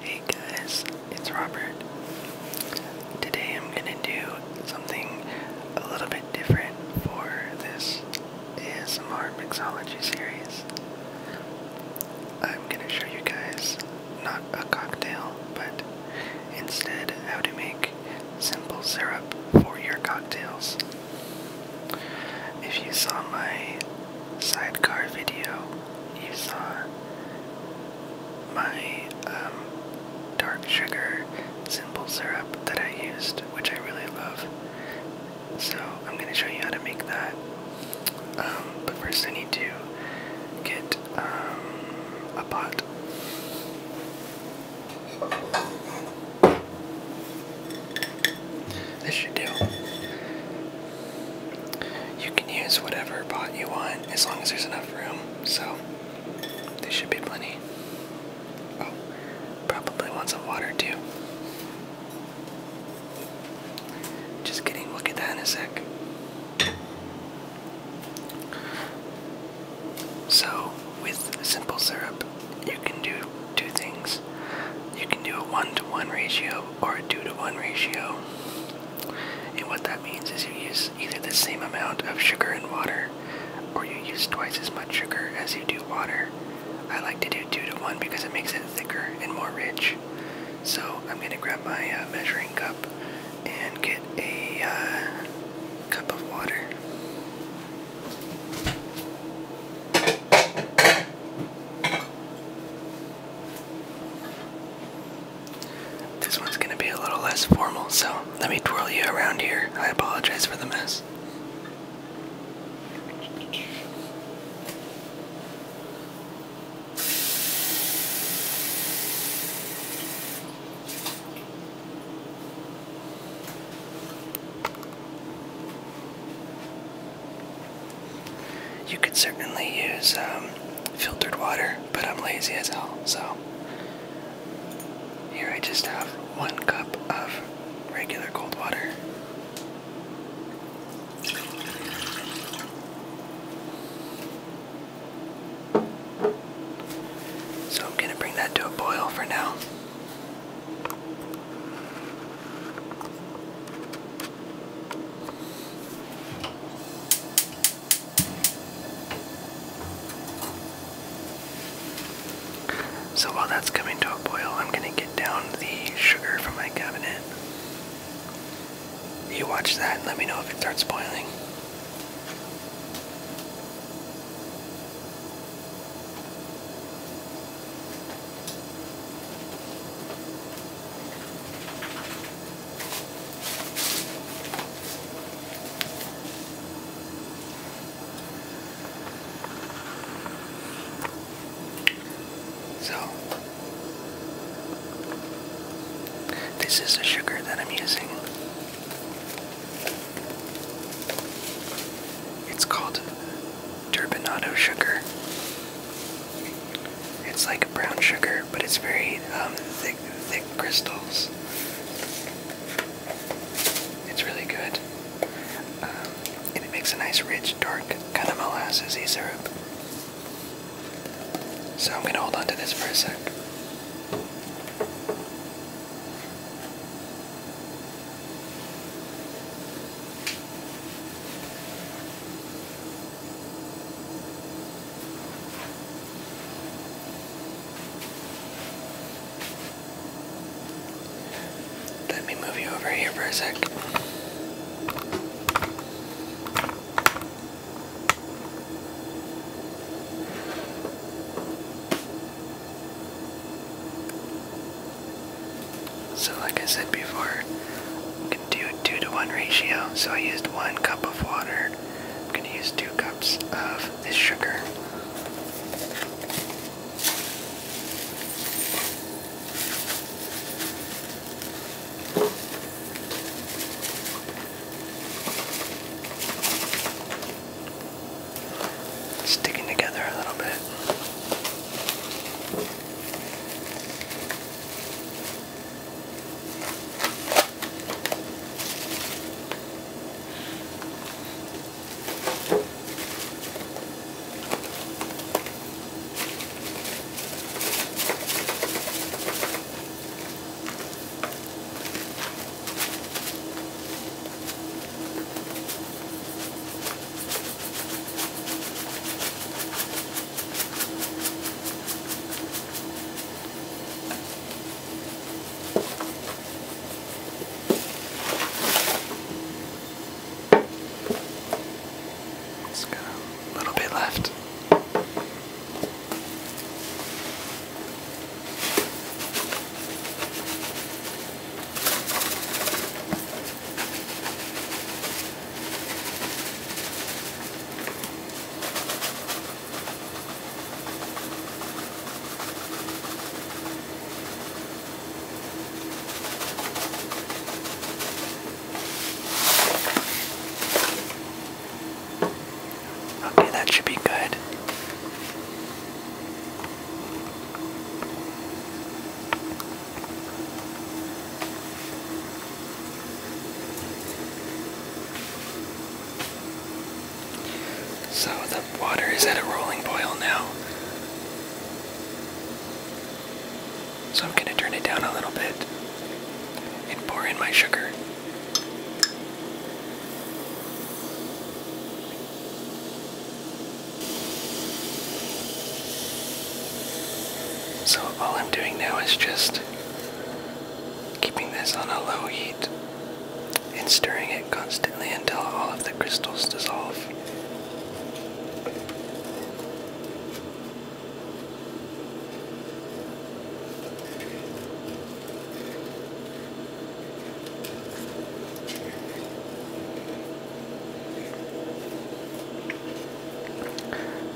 Hey guys, it's Robert. Today I'm gonna do something a little bit different for this ASMR mixology series. I'm gonna show you guys not a cocktail, but instead how to make simple syrup for your cocktails. If you saw my sidecar video, you saw my um, dark sugar simple syrup that I used, which I really love. So I'm going to show you how to make that. Um, but first I need to get um, a pot. This should do. You can use whatever pot you want as long as there's enough room, so there should be plenty. Oh, probably want some water too. Just kidding, we'll get that in a sec. So, with simple syrup, you can do two things. You can do a one to one ratio or a two to one ratio. And what that means is you use either the same amount of sugar and water or you use twice as much sugar as you do water. I like to do two to one because it makes it thicker and more rich. So I'm going to grab my uh, measuring cup and get a uh, cup of water. This one's going to be a little less formal, so let me twirl you around here. I apologize for the mess. You could certainly use um, filtered water, but I'm lazy as hell, so here I just have one cup of regular cold water. So I'm going to bring that to a boil for now. So while that's coming to a boil, I'm gonna get down the sugar from my cabinet. You watch that and let me know if it starts boiling. So, this is the sugar that I'm using. It's called turbinado sugar. It's like brown sugar, but it's very um, thick, thick crystals. It's really good. Um, and it makes a nice, rich, dark, kind of molassesy syrup. So I'm going to hold on to this for a sec. Let me move you over here for a sec. So like I said before, I'm going to do a 2 to 1 ratio. So I used 1 cup of water. I'm going to use 2 cups of this sugar sticking together a little bit. Just got a little bit left. Okay, that should be good. So the water is at a rolling boil now. So I'm going to turn it down a little bit and pour in my sugar. So all I'm doing now is just keeping this on a low heat and stirring it constantly until all of the crystals dissolve.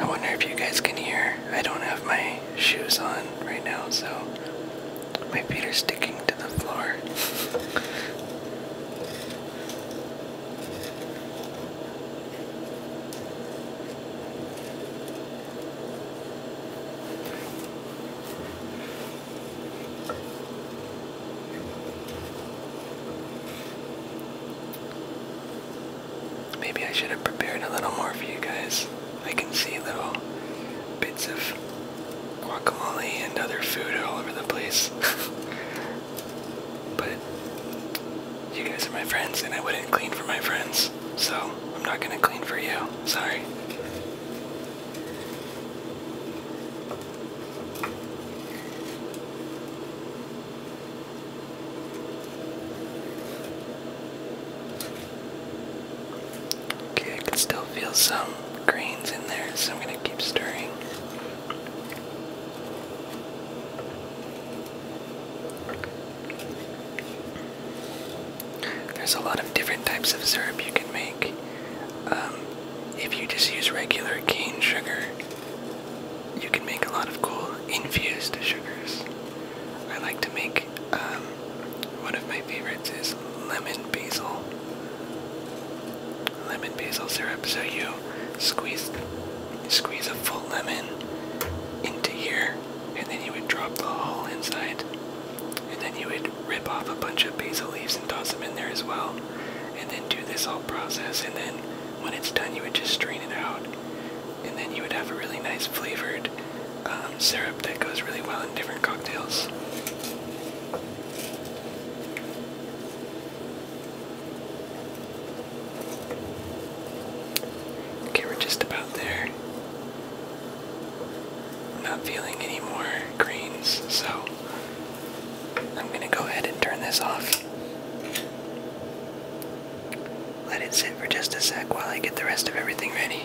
I wonder if you guys can hear. I don't have my shoes on right now, so my feet are sticking to the floor. Maybe I should have prepared a little more for you guys. I can see little bits of guacamole and other food all over the place. but you guys are my friends and I wouldn't clean for my friends. So I'm not gonna clean for you. Sorry. Okay, I can still feel some grains in there, so I'm going to keep stirring. There's a lot of different types of syrup you can make. Um, if you just use regular cane sugar, you can make a lot of cool infused sugars. I like to make um, one of my favorites is lemon basil. Lemon basil syrup. So you squeeze, squeeze a full lemon into here, and then you would drop the whole inside, and then you would rip off a bunch of basil leaves and toss them in there as well, and then do this whole process. And then when it's done, you would just strain it out, and then you would have a really nice flavored um, syrup that goes really well in different cocktails. Okay, we're just about there not feeling any more greens, so I'm gonna go ahead and turn this off. Let it sit for just a sec while I get the rest of everything ready.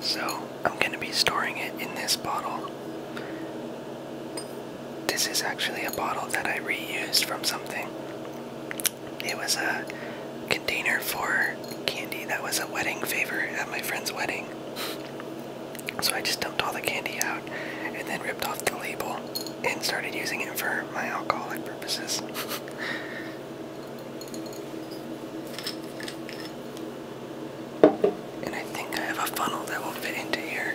So, I'm going to be storing it in this bottle. This is actually a bottle that I reused from something. It was a container for candy that was a wedding favor at my friend's wedding. So I just dumped all the candy out and then ripped off the label and started using it for my alcoholic purposes. and I think I have a funnel that will fit into here.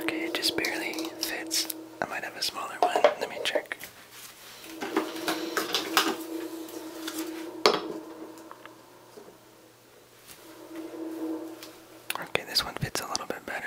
Okay, it just barely fits. I might have a smaller one. Let me check. Okay, this one fits a little bit better.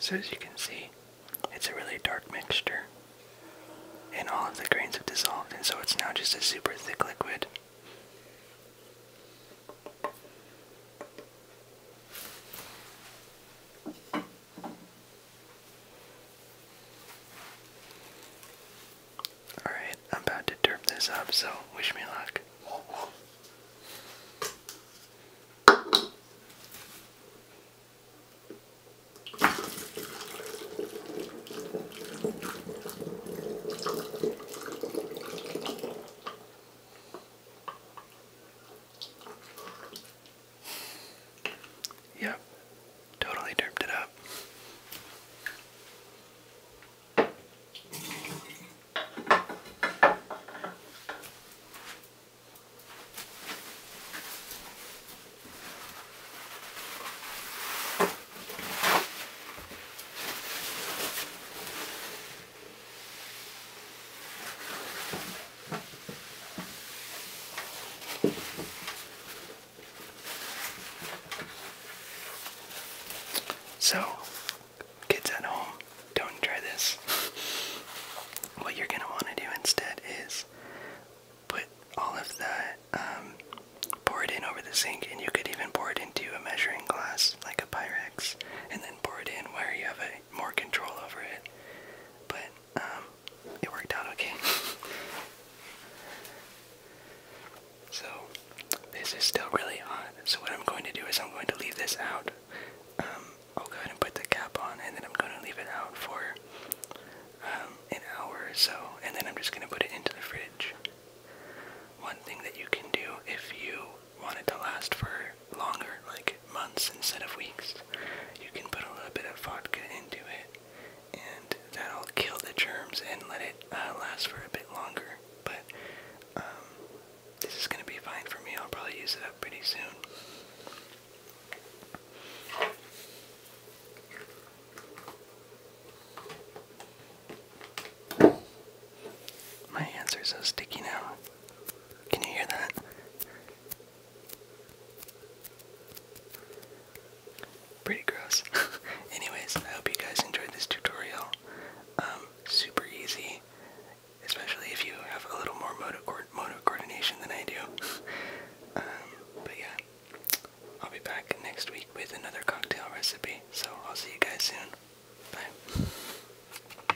So as you can see, it's a really dark mixture. And all of the grains have dissolved, and so it's now just a super thick liquid. Alright, I'm about to derp this up, so wish me luck. Yep, totally derped it up. So, kids at home, don't try this. what you're gonna want to do instead is put all of that, pour it in over the sink, and you could even pour it into a measuring glass like a Pyrex, and then pour it in where you have a more control over it. But um, it worked out okay. so this is still really hot. So what I'm going to do is I'm going to leave this out. Um, I'll go ahead and put the cap on, and then I'm going to leave it out for um, an hour or so, and then I'm just going to put it into the fridge. One thing that you can do if you want it to last for longer, like months instead of weeks. You can put a little bit of vodka into it, and that'll kill the germs and let it uh, last for a bit longer. But um, this is gonna be fine for me. I'll probably use it up pretty soon. My hands are so sticky now. Can you hear that? Pretty gross. Anyways, I hope you guys enjoyed this tutorial. Um, super easy, especially if you have a little more motor, co coordination than I do. Um, but yeah, I'll be back next week with another cocktail recipe. So I'll see you guys soon. Bye.